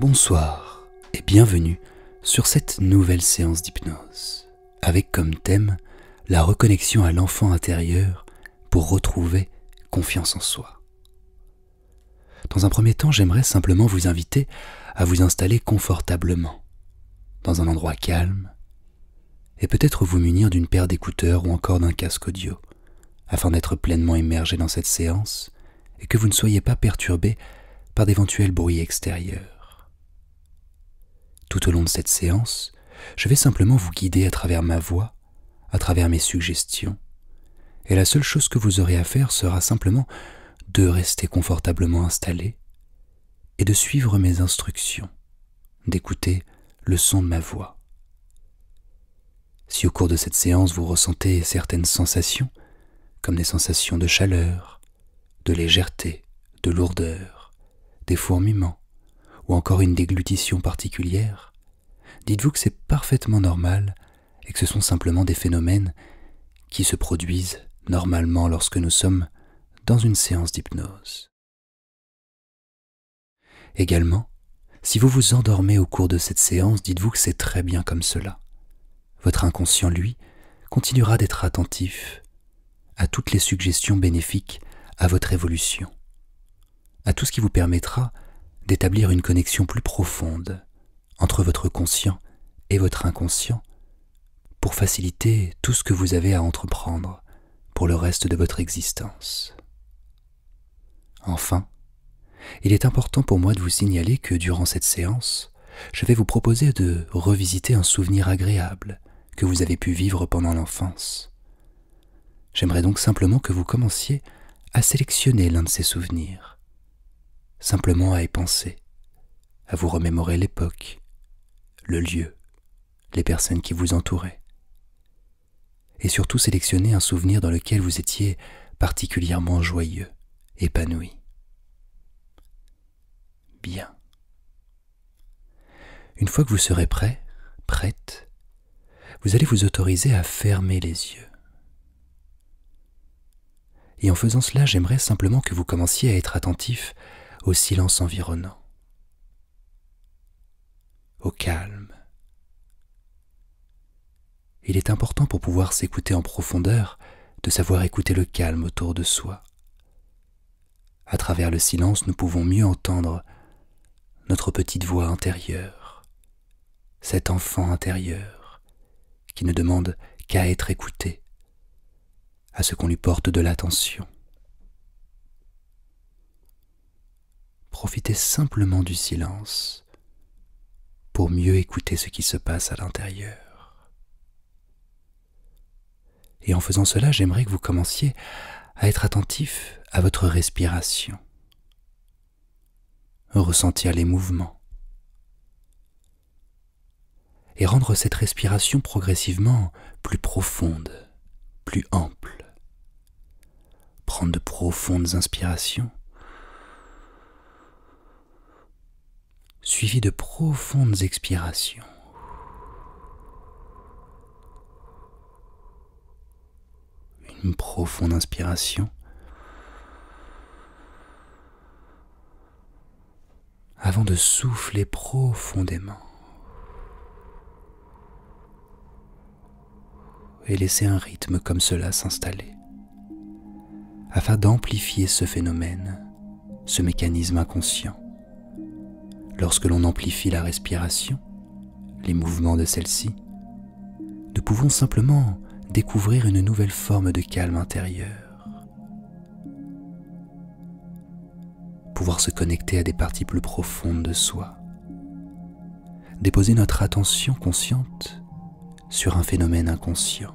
Bonsoir et bienvenue sur cette nouvelle séance d'hypnose, avec comme thème la reconnexion à l'enfant intérieur pour retrouver confiance en soi. Dans un premier temps, j'aimerais simplement vous inviter à vous installer confortablement, dans un endroit calme, et peut-être vous munir d'une paire d'écouteurs ou encore d'un casque audio, afin d'être pleinement immergé dans cette séance et que vous ne soyez pas perturbé par d'éventuels bruits extérieurs. Tout au long de cette séance, je vais simplement vous guider à travers ma voix à travers mes suggestions, et la seule chose que vous aurez à faire sera simplement de rester confortablement installé et de suivre mes instructions, d'écouter le son de ma voix. Si au cours de cette séance vous ressentez certaines sensations, comme des sensations de chaleur, de légèreté, de lourdeur, des fourmillements, ou encore une déglutition particulière, Dites-vous que c'est parfaitement normal et que ce sont simplement des phénomènes qui se produisent normalement lorsque nous sommes dans une séance d'hypnose. Également, si vous vous endormez au cours de cette séance, dites-vous que c'est très bien comme cela. Votre inconscient, lui, continuera d'être attentif à toutes les suggestions bénéfiques à votre évolution à tout ce qui vous permettra d'établir une connexion plus profonde entre votre conscient et votre inconscient pour faciliter tout ce que vous avez à entreprendre pour le reste de votre existence. Enfin, il est important pour moi de vous signaler que durant cette séance, je vais vous proposer de revisiter un souvenir agréable que vous avez pu vivre pendant l'enfance. J'aimerais donc simplement que vous commenciez à sélectionner l'un de ces souvenirs simplement à y penser, à vous remémorer l'époque, le lieu, les personnes qui vous entouraient. Et surtout sélectionner un souvenir dans lequel vous étiez particulièrement joyeux, épanoui. Bien. Une fois que vous serez prêt, prête, vous allez vous autoriser à fermer les yeux. Et en faisant cela, j'aimerais simplement que vous commenciez à être attentif au silence environnant, au calme. Il est important pour pouvoir s'écouter en profondeur de savoir écouter le calme autour de soi. À travers le silence, nous pouvons mieux entendre notre petite voix intérieure cet enfant intérieur qui ne demande qu'à être écouté, à ce qu'on lui porte de l'attention. Profitez simplement du silence pour mieux écouter ce qui se passe à l'intérieur. Et en faisant cela, j'aimerais que vous commenciez à être attentif à votre respiration ressentir les mouvements et rendre cette respiration progressivement plus profonde, plus ample. Prendre de profondes inspirations, suivies de profondes expirations une profonde inspiration. Avant de souffler profondément et laisser un rythme comme cela s'installer, afin d'amplifier ce phénomène, ce mécanisme inconscient. Lorsque l'on amplifie la respiration, les mouvements de celle-ci, nous pouvons simplement découvrir une nouvelle forme de calme intérieur. Pouvoir se connecter à des parties plus profondes de soi. Déposer notre attention consciente sur un phénomène inconscient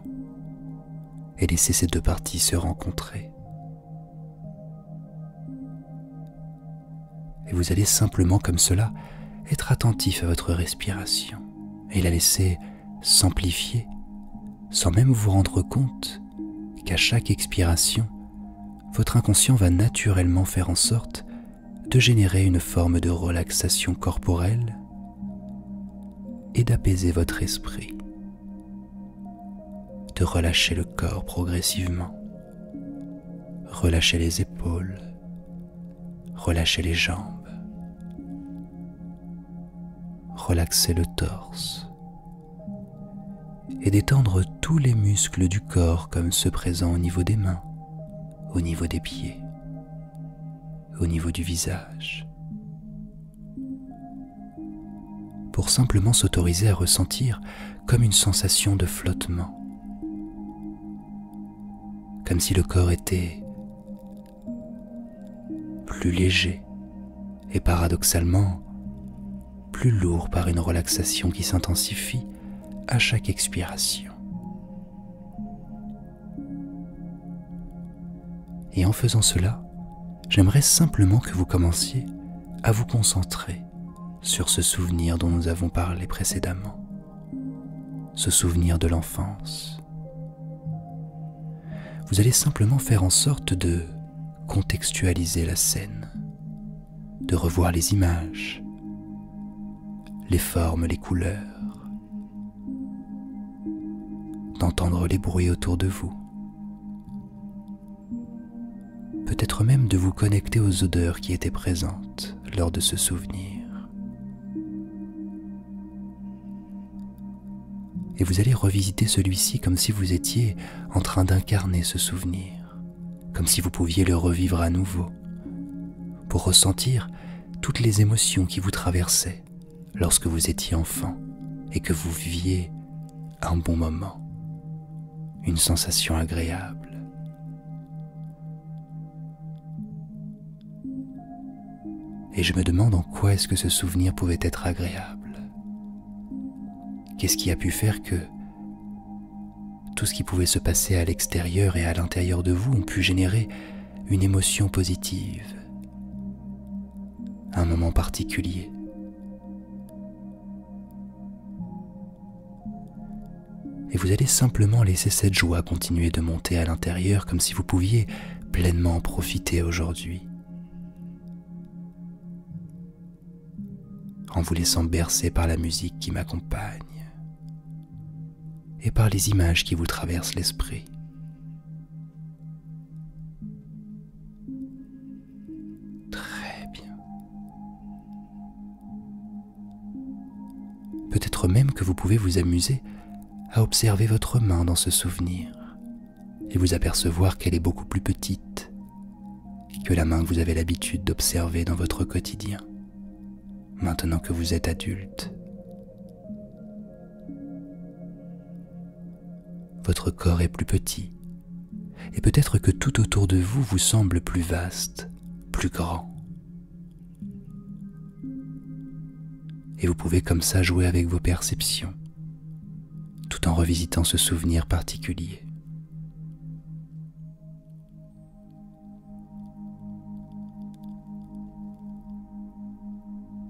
et laisser ces deux parties se rencontrer. Et vous allez simplement comme cela être attentif à votre respiration et la laisser s'amplifier sans même vous rendre compte qu'à chaque expiration, votre inconscient va naturellement faire en sorte de générer une forme de relaxation corporelle et d'apaiser votre esprit, de relâcher le corps progressivement, relâcher les épaules, Relâchez les jambes. relaxer le torse. Et détendre tous les muscles du corps comme ceux présents au niveau des mains, au niveau des pieds, au niveau du visage. Pour simplement s'autoriser à ressentir comme une sensation de flottement comme si le corps était plus léger et paradoxalement plus lourd par une relaxation qui s'intensifie à chaque expiration. Et en faisant cela, j'aimerais simplement que vous commenciez à vous concentrer sur ce souvenir dont nous avons parlé précédemment. Ce souvenir de l'enfance. Vous allez simplement faire en sorte de contextualiser la scène, de revoir les images, les formes, les couleurs, d'entendre les bruits autour de vous, peut-être même de vous connecter aux odeurs qui étaient présentes lors de ce souvenir. Et vous allez revisiter celui-ci comme si vous étiez en train d'incarner ce souvenir, comme si vous pouviez le revivre à nouveau, pour ressentir toutes les émotions qui vous traversaient lorsque vous étiez enfant et que vous viviez un bon moment, une sensation agréable. Et je me demande en quoi est-ce que ce souvenir pouvait être agréable. Qu'est-ce qui a pu faire que tout ce qui pouvait se passer à l'extérieur et à l'intérieur de vous ont pu générer une émotion positive, un moment particulier et vous allez simplement laisser cette joie continuer de monter à l'intérieur comme si vous pouviez pleinement en profiter aujourd'hui. En vous laissant bercer par la musique qui m'accompagne et par les images qui vous traversent l'esprit. Très bien. Peut-être même que vous pouvez vous amuser à observer votre main dans ce souvenir et vous apercevoir qu'elle est beaucoup plus petite que la main que vous avez l'habitude d'observer dans votre quotidien, maintenant que vous êtes adulte. Votre corps est plus petit, et peut-être que tout autour de vous vous semble plus vaste, plus grand, et vous pouvez comme ça jouer avec vos perceptions, tout en revisitant ce souvenir particulier.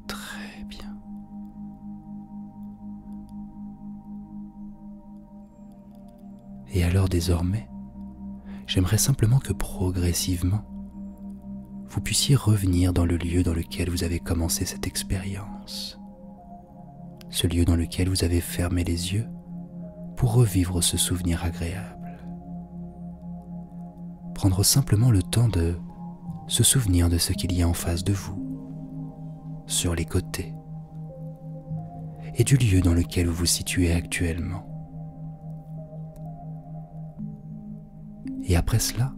Très bien. Et alors désormais, j'aimerais simplement que progressivement, vous puissiez revenir dans le lieu dans lequel vous avez commencé cette expérience, ce lieu dans lequel vous avez fermé les yeux pour revivre ce souvenir agréable. Prendre simplement le temps de se souvenir de ce qu'il y a en face de vous, sur les côtés, et du lieu dans lequel vous vous situez actuellement. Et après cela,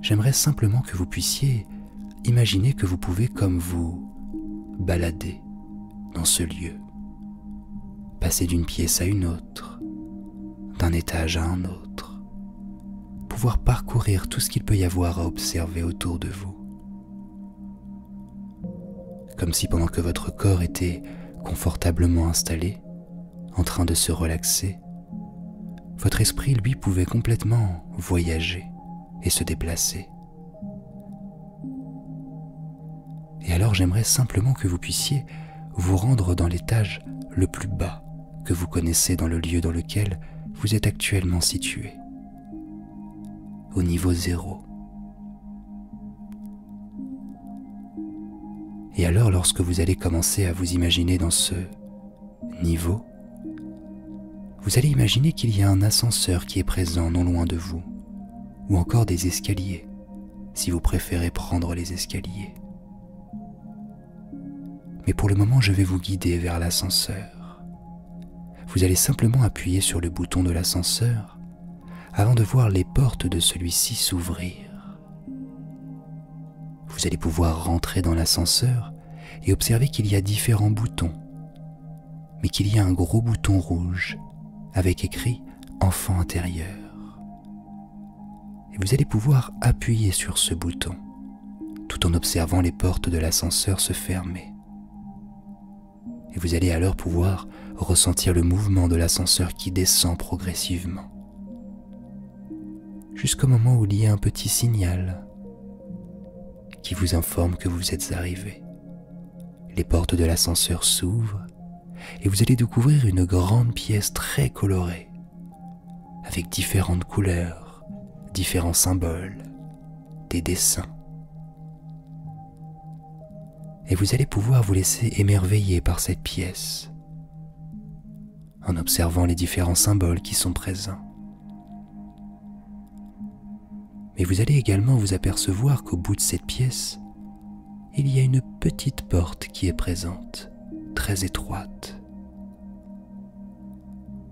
j'aimerais simplement que vous puissiez imaginer que vous pouvez comme vous balader dans ce lieu, passer d'une pièce à une autre, d'un étage à un autre, pouvoir parcourir tout ce qu'il peut y avoir à observer autour de vous. Comme si pendant que votre corps était confortablement installé, en train de se relaxer, votre esprit, lui, pouvait complètement voyager et se déplacer. Et alors j'aimerais simplement que vous puissiez vous rendre dans l'étage le plus bas que vous connaissez dans le lieu dans lequel vous êtes actuellement situé, au niveau zéro et alors lorsque vous allez commencer à vous imaginer dans ce niveau, vous allez imaginer qu'il y a un ascenseur qui est présent non loin de vous, ou encore des escaliers, si vous préférez prendre les escaliers. Mais pour le moment, je vais vous guider vers l'ascenseur. Vous allez simplement appuyer sur le bouton de l'ascenseur avant de voir les portes de celui-ci s'ouvrir. Vous allez pouvoir rentrer dans l'ascenseur et observer qu'il y a différents boutons, mais qu'il y a un gros bouton rouge avec écrit Enfant intérieur. Et vous allez pouvoir appuyer sur ce bouton tout en observant les portes de l'ascenseur se fermer. Et vous allez alors pouvoir ressentir le mouvement de l'ascenseur qui descend progressivement. Jusqu'au moment où il y a un petit signal qui vous informe que vous êtes arrivé. Les portes de l'ascenseur s'ouvrent et vous allez découvrir une grande pièce très colorée, avec différentes couleurs, différents symboles, des dessins et vous allez pouvoir vous laisser émerveiller par cette pièce en observant les différents symboles qui sont présents. Mais vous allez également vous apercevoir qu'au bout de cette pièce, il y a une petite porte qui est présente, très étroite.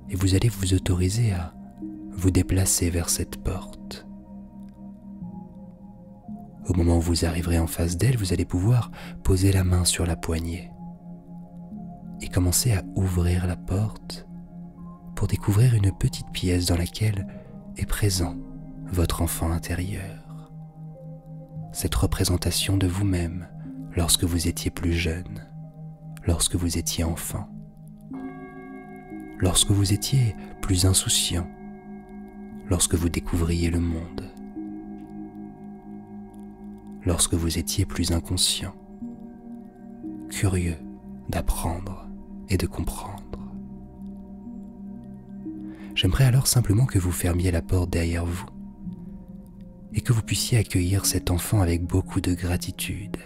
Et vous allez vous autoriser à vous déplacer vers cette porte. Au moment où vous arriverez en face d'elle, vous allez pouvoir poser la main sur la poignée et commencer à ouvrir la porte pour découvrir une petite pièce dans laquelle est présent votre enfant intérieur. Cette représentation de vous-même lorsque vous étiez plus jeune, lorsque vous étiez enfant, lorsque vous étiez plus insouciant lorsque vous découvriez le monde, lorsque vous étiez plus inconscient, curieux d'apprendre et de comprendre. J'aimerais alors simplement que vous fermiez la porte derrière vous et que vous puissiez accueillir cet enfant avec beaucoup de gratitude,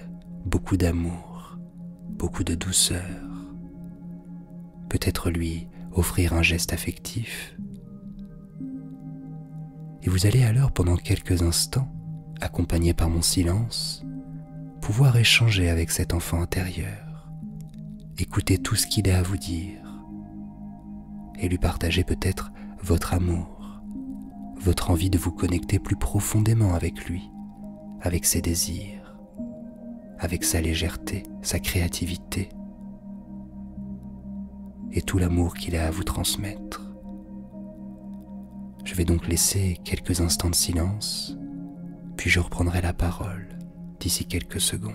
beaucoup d'amour, beaucoup de douceur, peut-être lui offrir un geste affectif. Et vous allez alors pendant quelques instants, accompagné par mon silence, pouvoir échanger avec cet enfant intérieur, écouter tout ce qu'il a à vous dire, et lui partager peut-être votre amour, votre envie de vous connecter plus profondément avec lui, avec ses désirs, avec sa légèreté, sa créativité et tout l'amour qu'il a à vous transmettre. Je vais donc laisser quelques instants de silence, puis je reprendrai la parole d'ici quelques secondes.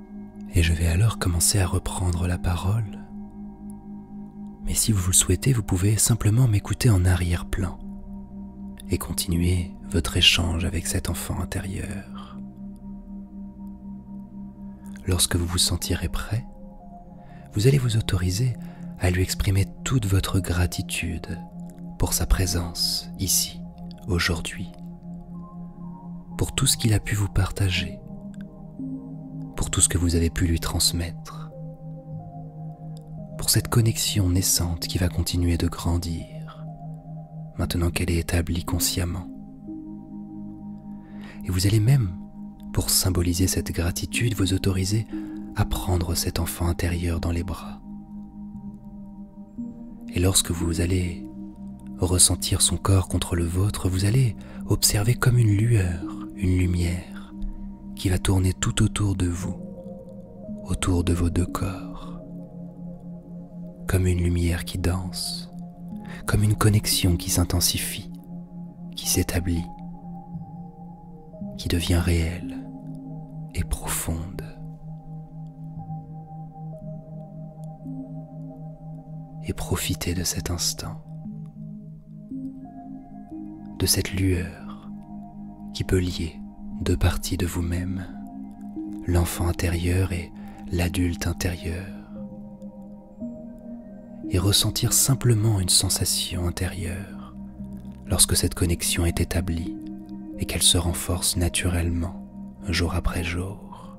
Et je vais alors commencer à reprendre la parole. Mais si vous le souhaitez, vous pouvez simplement m'écouter en arrière-plan et continuer votre échange avec cet enfant intérieur. Lorsque vous vous sentirez prêt, vous allez vous autoriser à lui exprimer toute votre gratitude pour sa présence ici, aujourd'hui, pour tout ce qu'il a pu vous partager, pour tout ce que vous avez pu lui transmettre, pour cette connexion naissante qui va continuer de grandir, maintenant qu'elle est établie consciemment. Et vous allez même, pour symboliser cette gratitude, vous autoriser à prendre cet enfant intérieur dans les bras et lorsque vous allez ressentir son corps contre le vôtre, vous allez observer comme une lueur, une lumière, qui va tourner tout autour de vous, autour de vos deux corps, comme une lumière qui danse, comme une connexion qui s'intensifie, qui s'établit, qui devient réelle et profonde. Et profitez de cet instant, de cette lueur qui peut lier deux parties de vous-même, l'enfant intérieur et l'adulte intérieur, et ressentir simplement une sensation intérieure lorsque cette connexion est établie et qu'elle se renforce naturellement jour après jour.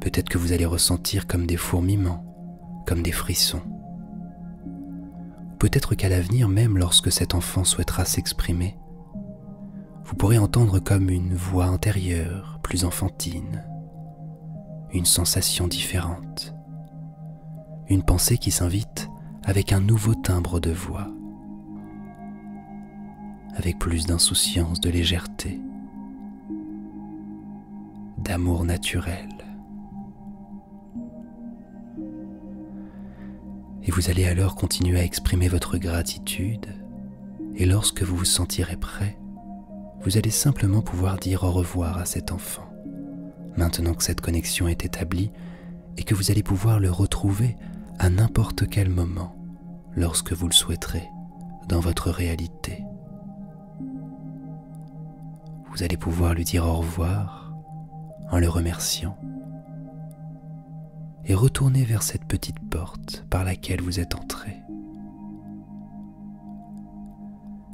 Peut-être que vous allez ressentir comme des fourmillements, comme des frissons. Peut-être qu'à l'avenir, même lorsque cet enfant souhaitera s'exprimer, vous pourrez entendre comme une voix intérieure, plus enfantine, une sensation différente, une pensée qui s'invite avec un nouveau timbre de voix avec plus d'insouciance, de légèreté, d'amour naturel. Et vous allez alors continuer à exprimer votre gratitude, et lorsque vous vous sentirez prêt, vous allez simplement pouvoir dire au revoir à cet enfant, maintenant que cette connexion est établie, et que vous allez pouvoir le retrouver à n'importe quel moment, lorsque vous le souhaiterez dans votre réalité. Vous allez pouvoir lui dire au revoir en le remerciant et retourner vers cette petite porte par laquelle vous êtes entré.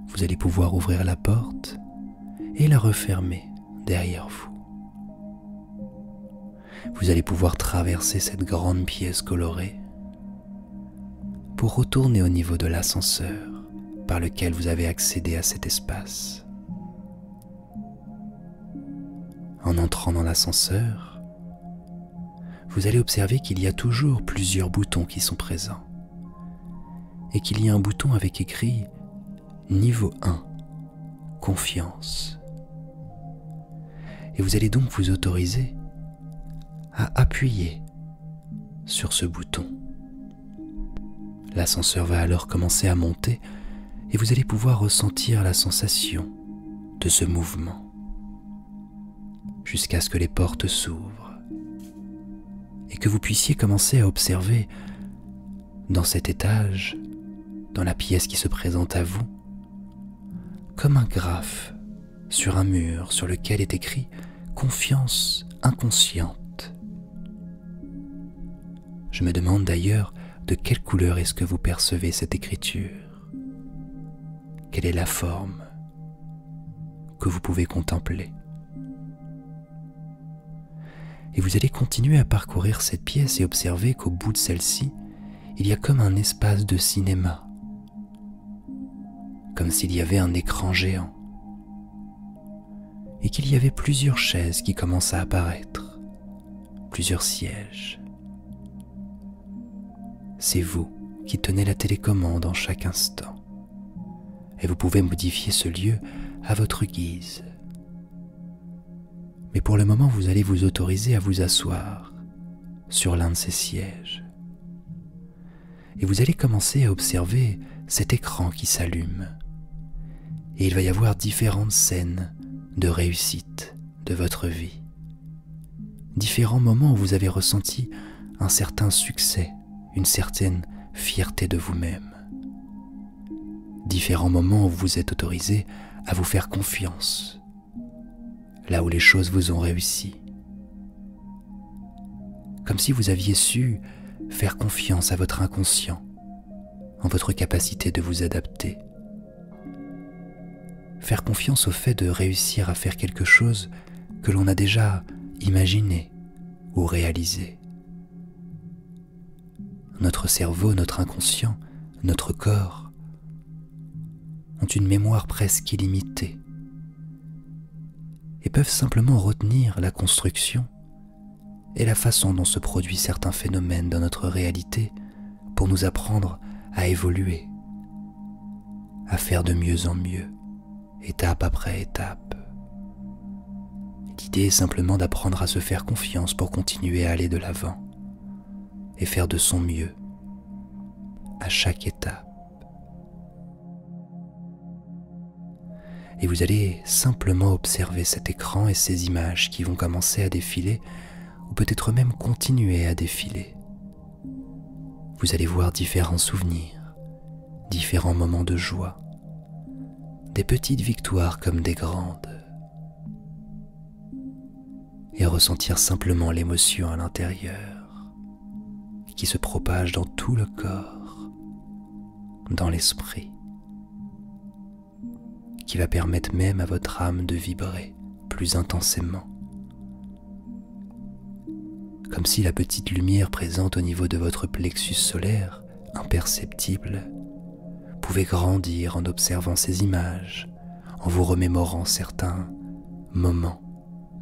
Vous allez pouvoir ouvrir la porte et la refermer derrière vous vous allez pouvoir traverser cette grande pièce colorée pour retourner au niveau de l'ascenseur par lequel vous avez accédé à cet espace. En entrant dans l'ascenseur, vous allez observer qu'il y a toujours plusieurs boutons qui sont présents et qu'il y a un bouton avec écrit Niveau 1, confiance. Et vous allez donc vous autoriser à appuyer sur ce bouton. L'ascenseur va alors commencer à monter et vous allez pouvoir ressentir la sensation de ce mouvement jusqu'à ce que les portes s'ouvrent et que vous puissiez commencer à observer dans cet étage, dans la pièce qui se présente à vous, comme un graphe sur un mur sur lequel est écrit Confiance inconsciente. Je me demande d'ailleurs de quelle couleur est-ce que vous percevez cette écriture Quelle est la forme que vous pouvez contempler et vous allez continuer à parcourir cette pièce et observer qu'au bout de celle-ci, il y a comme un espace de cinéma, comme s'il y avait un écran géant, et qu'il y avait plusieurs chaises qui commencent à apparaître, plusieurs sièges. C'est vous qui tenez la télécommande en chaque instant, et vous pouvez modifier ce lieu à votre guise mais pour le moment vous allez vous autoriser à vous asseoir sur l'un de ces sièges. Et vous allez commencer à observer cet écran qui s'allume. Et il va y avoir différentes scènes de réussite de votre vie. Différents moments où vous avez ressenti un certain succès, une certaine fierté de vous-même. Différents moments où vous êtes autorisé à vous faire confiance là où les choses vous ont réussi. Comme si vous aviez su faire confiance à votre inconscient, en votre capacité de vous adapter. Faire confiance au fait de réussir à faire quelque chose que l'on a déjà imaginé ou réalisé. Notre cerveau, notre inconscient, notre corps ont une mémoire presque illimitée et peuvent simplement retenir la construction et la façon dont se produisent certains phénomènes dans notre réalité pour nous apprendre à évoluer, à faire de mieux en mieux, étape après étape. L'idée est simplement d'apprendre à se faire confiance pour continuer à aller de l'avant, et faire de son mieux à chaque étape. Et vous allez simplement observer cet écran et ces images qui vont commencer à défiler ou peut-être même continuer à défiler. Vous allez voir différents souvenirs, différents moments de joie, des petites victoires comme des grandes et ressentir simplement l'émotion à l'intérieur qui se propage dans tout le corps, dans l'esprit, qui va permettre même à votre âme de vibrer plus intensément, comme si la petite lumière présente au niveau de votre plexus solaire, imperceptible, pouvait grandir en observant ces images en vous remémorant certains moments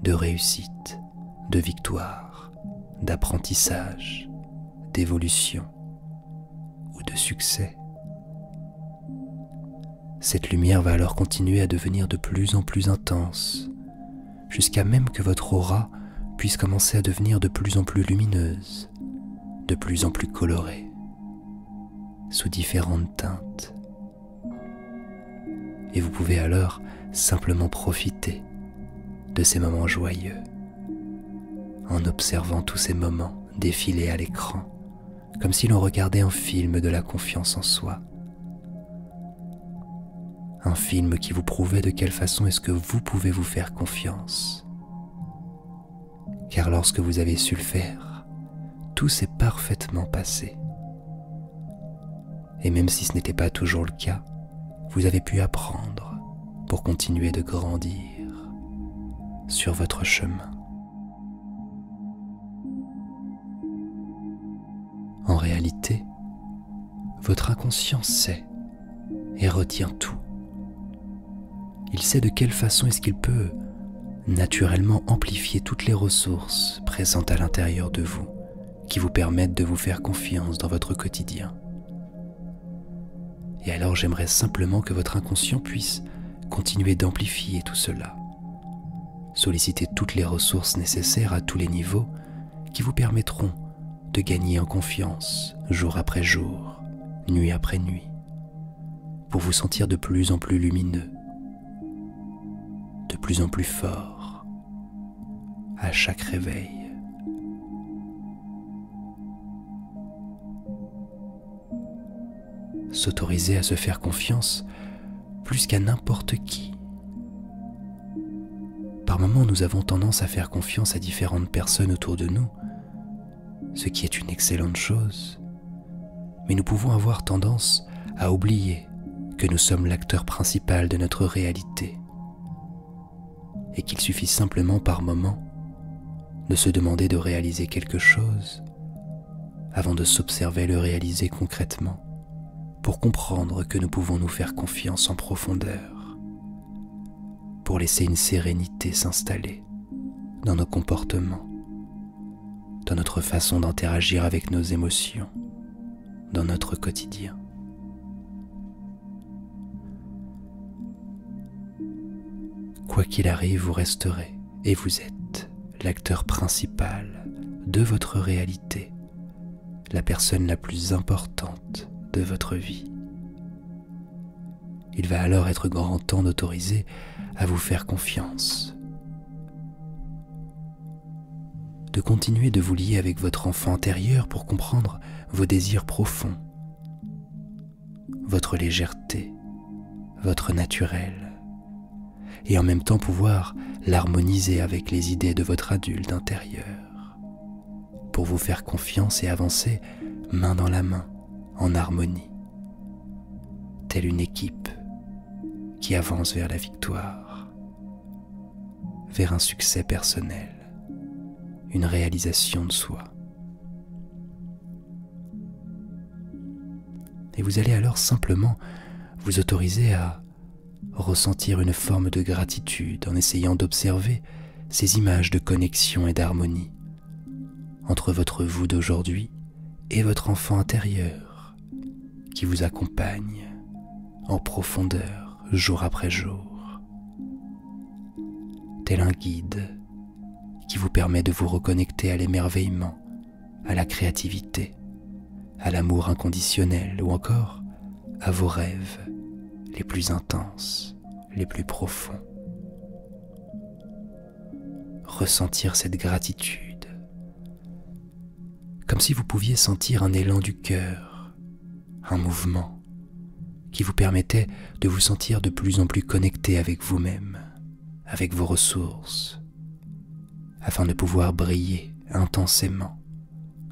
de réussite, de victoire, d'apprentissage, d'évolution ou de succès. Cette lumière va alors continuer à devenir de plus en plus intense, jusqu'à même que votre aura puisse commencer à devenir de plus en plus lumineuse, de plus en plus colorée sous différentes teintes. Et vous pouvez alors simplement profiter de ces moments joyeux en observant tous ces moments défiler à l'écran, comme si l'on regardait un film de la confiance en soi. Un film qui vous prouvait de quelle façon est-ce que vous pouvez vous faire confiance car lorsque vous avez su le faire, tout s'est parfaitement passé. Et même si ce n'était pas toujours le cas, vous avez pu apprendre pour continuer de grandir sur votre chemin. En réalité, votre inconscient sait et retient tout. Il sait de quelle façon est-ce qu'il peut naturellement amplifier toutes les ressources présentes à l'intérieur de vous qui vous permettent de vous faire confiance dans votre quotidien. Et alors j'aimerais simplement que votre inconscient puisse continuer d'amplifier tout cela. Solliciter toutes les ressources nécessaires à tous les niveaux qui vous permettront de gagner en confiance jour après jour, nuit après nuit, pour vous sentir de plus en plus lumineux, de plus en plus fort à chaque réveil. S'autoriser à se faire confiance plus qu'à n'importe qui. Par moments, nous avons tendance à faire confiance à différentes personnes autour de nous, ce qui est une excellente chose. Mais nous pouvons avoir tendance à oublier que nous sommes l'acteur principal de notre réalité et qu'il suffit simplement par moment de se demander de réaliser quelque chose avant de s'observer le réaliser concrètement pour comprendre que nous pouvons nous faire confiance en profondeur, pour laisser une sérénité s'installer dans nos comportements dans notre façon d'interagir avec nos émotions, dans notre quotidien. Quoi qu'il arrive, vous resterez et vous êtes l'acteur principal de votre réalité, la personne la plus importante de votre vie. Il va alors être grand temps d'autoriser à vous faire confiance de continuer de vous lier avec votre enfant intérieur pour comprendre vos désirs profonds, votre légèreté, votre naturel, et en même temps pouvoir l'harmoniser avec les idées de votre adulte intérieur, pour vous faire confiance et avancer main dans la main, en harmonie telle une équipe qui avance vers la victoire, vers un succès personnel, une réalisation de soi. Et vous allez alors simplement vous autoriser à ressentir une forme de gratitude en essayant d'observer ces images de connexion et d'harmonie entre votre vous d'aujourd'hui et votre enfant intérieur qui vous accompagne en profondeur jour après jour, tel un guide qui vous permet de vous reconnecter à l'émerveillement, à la créativité, à l'amour inconditionnel ou encore à vos rêves les plus intenses, les plus profonds ressentir cette gratitude, comme si vous pouviez sentir un élan du cœur, un mouvement qui vous permettait de vous sentir de plus en plus connecté avec vous-même, avec vos ressources, afin de pouvoir briller intensément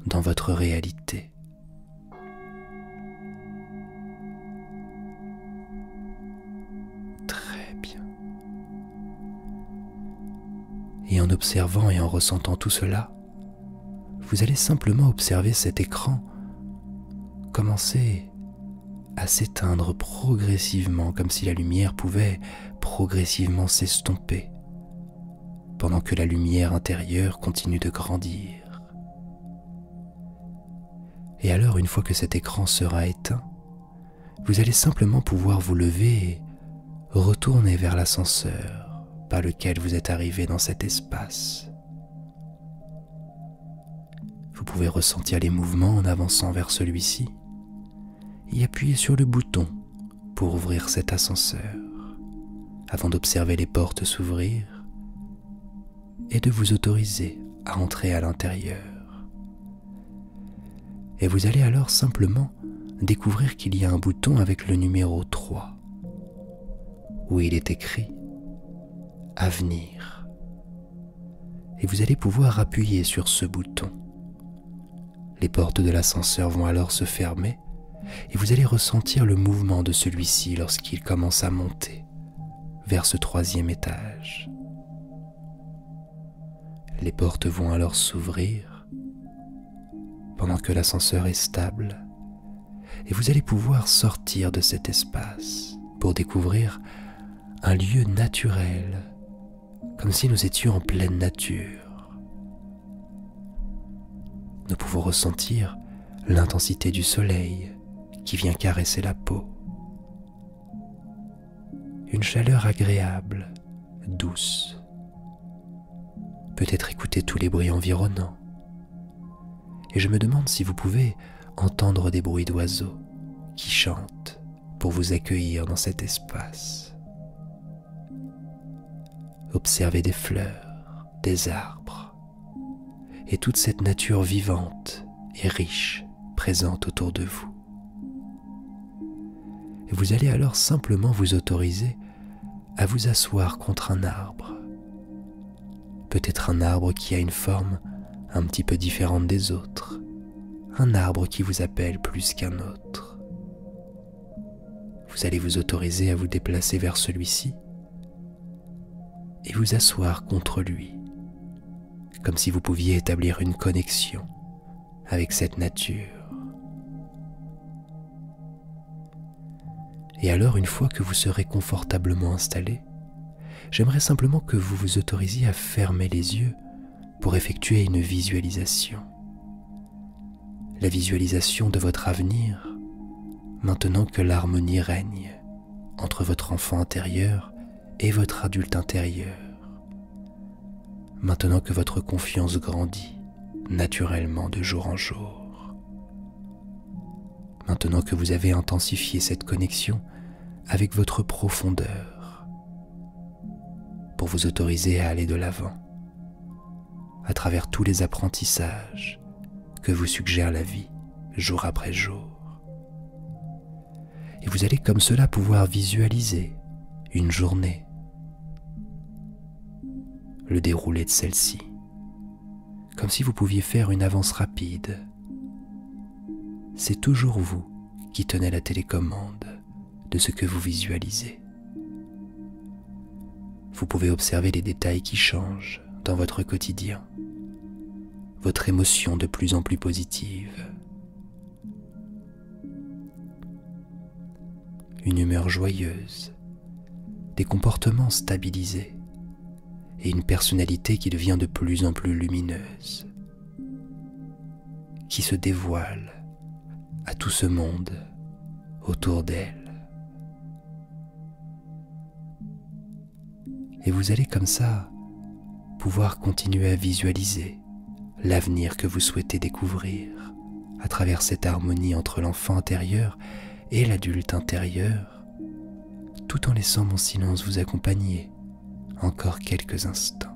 dans votre réalité. Très bien. Et en observant et en ressentant tout cela, vous allez simplement observer cet écran commencer à s'éteindre progressivement comme si la lumière pouvait progressivement s'estomper pendant que la lumière intérieure continue de grandir. Et alors une fois que cet écran sera éteint, vous allez simplement pouvoir vous lever et retourner vers l'ascenseur par lequel vous êtes arrivé dans cet espace. Vous pouvez ressentir les mouvements en avançant vers celui-ci et appuyer sur le bouton pour ouvrir cet ascenseur avant d'observer les portes s'ouvrir et de vous autoriser à entrer à l'intérieur et vous allez alors simplement découvrir qu'il y a un bouton avec le numéro 3, où il est écrit Avenir. Et vous allez pouvoir appuyer sur ce bouton. Les portes de l'ascenseur vont alors se fermer et vous allez ressentir le mouvement de celui-ci lorsqu'il commence à monter vers ce troisième étage. Les portes vont alors s'ouvrir pendant que l'ascenseur est stable et vous allez pouvoir sortir de cet espace pour découvrir un lieu naturel, comme si nous étions en pleine nature. Nous pouvons ressentir l'intensité du soleil qui vient caresser la peau. Une chaleur agréable, douce. Peut-être écouter tous les bruits environnants. Et je me demande si vous pouvez entendre des bruits d'oiseaux qui chantent pour vous accueillir dans cet espace. Observez des fleurs, des arbres et toute cette nature vivante et riche présente autour de vous. vous allez alors simplement vous autoriser à vous asseoir contre un arbre. Peut-être un arbre qui a une forme un petit peu différente des autres, un arbre qui vous appelle plus qu'un autre. Vous allez vous autoriser à vous déplacer vers celui-ci et vous asseoir contre lui, comme si vous pouviez établir une connexion avec cette nature. Et alors, une fois que vous serez confortablement installé, j'aimerais simplement que vous vous autorisiez à fermer les yeux pour effectuer une visualisation. La visualisation de votre avenir, maintenant que l'harmonie règne entre votre enfant intérieur et votre adulte intérieur. Maintenant que votre confiance grandit naturellement de jour en jour. Maintenant que vous avez intensifié cette connexion avec votre profondeur pour vous autoriser à aller de l'avant à travers tous les apprentissages que vous suggère la vie jour après jour et vous allez comme cela pouvoir visualiser une journée, le déroulé de celle-ci, comme si vous pouviez faire une avance rapide. C'est toujours vous qui tenez la télécommande de ce que vous visualisez. Vous pouvez observer les détails qui changent dans votre quotidien, votre émotion de plus en plus positive, une humeur joyeuse, des comportements stabilisés et une personnalité qui devient de plus en plus lumineuse, qui se dévoile à tout ce monde autour d'elle. Et vous allez comme ça pouvoir continuer à visualiser l'avenir que vous souhaitez découvrir à travers cette harmonie entre l'enfant intérieur et l'adulte intérieur, tout en laissant mon silence vous accompagner encore quelques instants.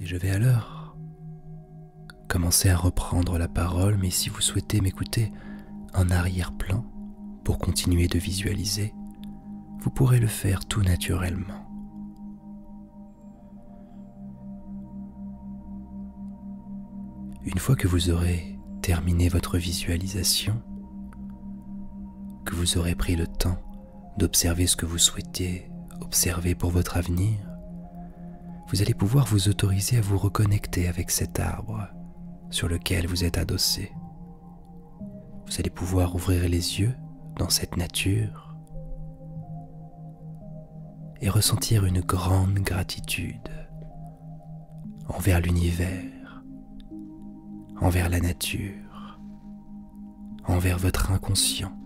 Et je vais alors commencer à reprendre la parole, mais si vous souhaitez m'écouter en arrière-plan pour continuer de visualiser, vous pourrez le faire tout naturellement. Une fois que vous aurez terminé votre visualisation, que vous aurez pris le temps d'observer ce que vous souhaitez observer pour votre avenir, vous allez pouvoir vous autoriser à vous reconnecter avec cet arbre sur lequel vous êtes adossé. Vous allez pouvoir ouvrir les yeux dans cette nature et ressentir une grande gratitude envers l'univers, envers la nature, envers votre inconscient,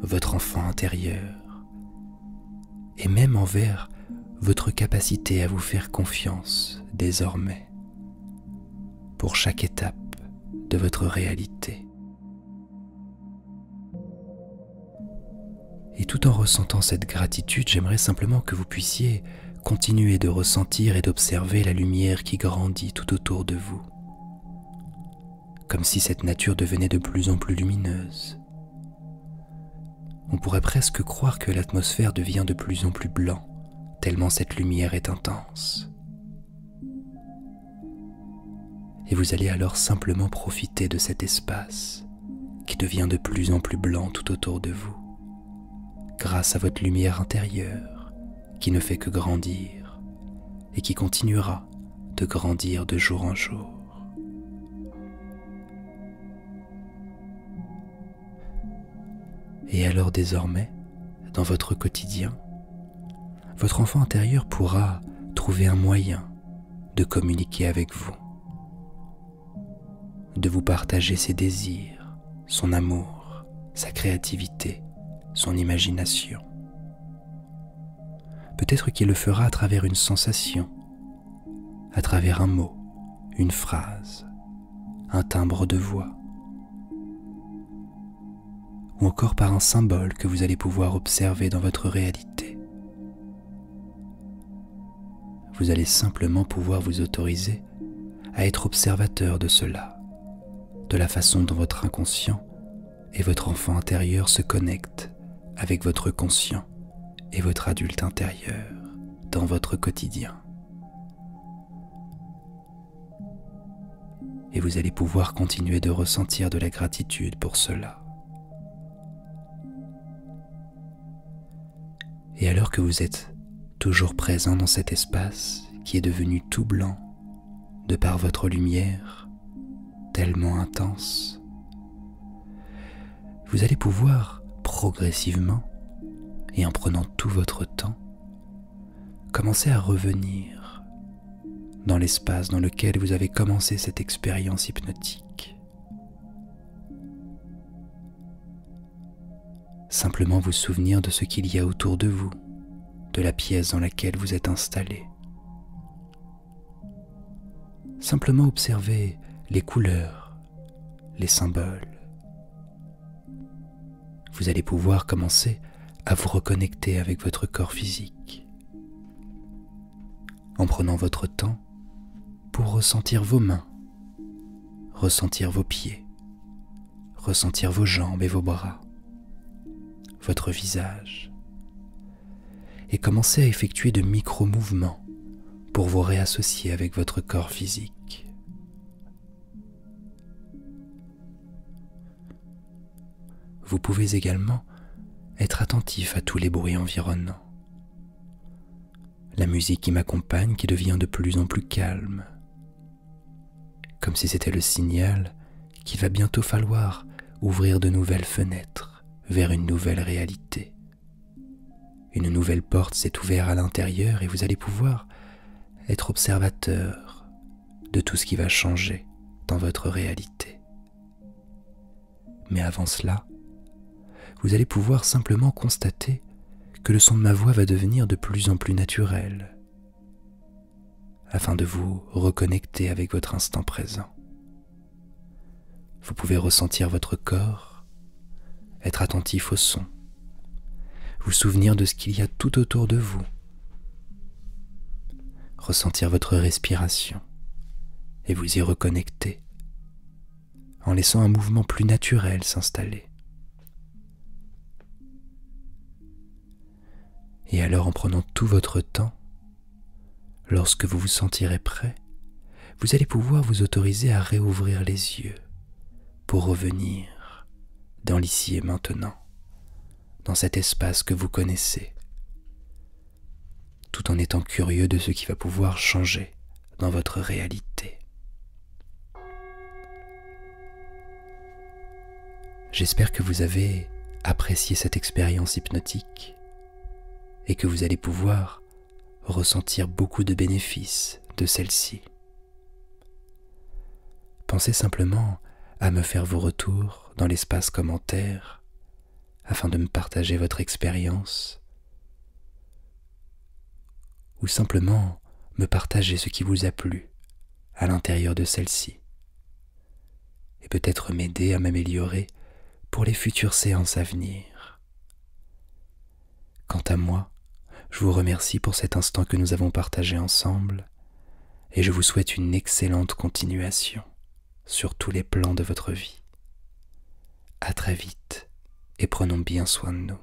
votre enfant intérieur, et même envers votre capacité à vous faire confiance désormais pour chaque étape de votre réalité. Et tout en ressentant cette gratitude, j'aimerais simplement que vous puissiez continuez de ressentir et d'observer la lumière qui grandit tout autour de vous, comme si cette nature devenait de plus en plus lumineuse. On pourrait presque croire que l'atmosphère devient de plus en plus blanc, tellement cette lumière est intense. Et vous allez alors simplement profiter de cet espace qui devient de plus en plus blanc tout autour de vous grâce à votre lumière intérieure qui ne fait que grandir et qui continuera de grandir de jour en jour. Et alors désormais, dans votre quotidien, votre enfant intérieur pourra trouver un moyen de communiquer avec vous, de vous partager ses désirs, son amour, sa créativité, son imagination. Peut-être qu'il le fera à travers une sensation, à travers un mot, une phrase, un timbre de voix, ou encore par un symbole que vous allez pouvoir observer dans votre réalité. Vous allez simplement pouvoir vous autoriser à être observateur de cela, de la façon dont votre inconscient et votre enfant intérieur se connectent avec votre conscient et votre adulte intérieur dans votre quotidien. Et vous allez pouvoir continuer de ressentir de la gratitude pour cela. Et alors que vous êtes toujours présent dans cet espace qui est devenu tout blanc de par votre lumière tellement intense, vous allez pouvoir progressivement et en prenant tout votre temps, commencer à revenir dans l'espace dans lequel vous avez commencé cette expérience hypnotique. Simplement vous souvenir de ce qu'il y a autour de vous, de la pièce dans laquelle vous êtes installé. Simplement observer les couleurs, les symboles. Vous allez pouvoir commencer à vous reconnecter avec votre corps physique, en prenant votre temps pour ressentir vos mains, ressentir vos pieds, ressentir vos jambes et vos bras, votre visage, et commencer à effectuer de micro-mouvements pour vous réassocier avec votre corps physique. Vous pouvez également être attentif à tous les bruits environnants. La musique qui m'accompagne qui devient de plus en plus calme comme si c'était le signal qu'il va bientôt falloir ouvrir de nouvelles fenêtres vers une nouvelle réalité. Une nouvelle porte s'est ouverte à l'intérieur et vous allez pouvoir être observateur de tout ce qui va changer dans votre réalité. Mais avant cela, vous allez pouvoir simplement constater que le son de ma voix va devenir de plus en plus naturel, afin de vous reconnecter avec votre instant présent. Vous pouvez ressentir votre corps, être attentif au son, vous souvenir de ce qu'il y a tout autour de vous, ressentir votre respiration et vous y reconnecter en laissant un mouvement plus naturel s'installer. Et alors en prenant tout votre temps, lorsque vous vous sentirez prêt, vous allez pouvoir vous autoriser à réouvrir les yeux pour revenir dans l'ici et maintenant, dans cet espace que vous connaissez, tout en étant curieux de ce qui va pouvoir changer dans votre réalité. J'espère que vous avez apprécié cette expérience hypnotique et que vous allez pouvoir ressentir beaucoup de bénéfices de celle-ci. Pensez simplement à me faire vos retours dans l'espace commentaire afin de me partager votre expérience ou simplement me partager ce qui vous a plu à l'intérieur de celle-ci, et peut-être m'aider à m'améliorer pour les futures séances à venir. Quant à moi, je vous remercie pour cet instant que nous avons partagé ensemble, et je vous souhaite une excellente continuation sur tous les plans de votre vie. A très vite, et prenons bien soin de nous.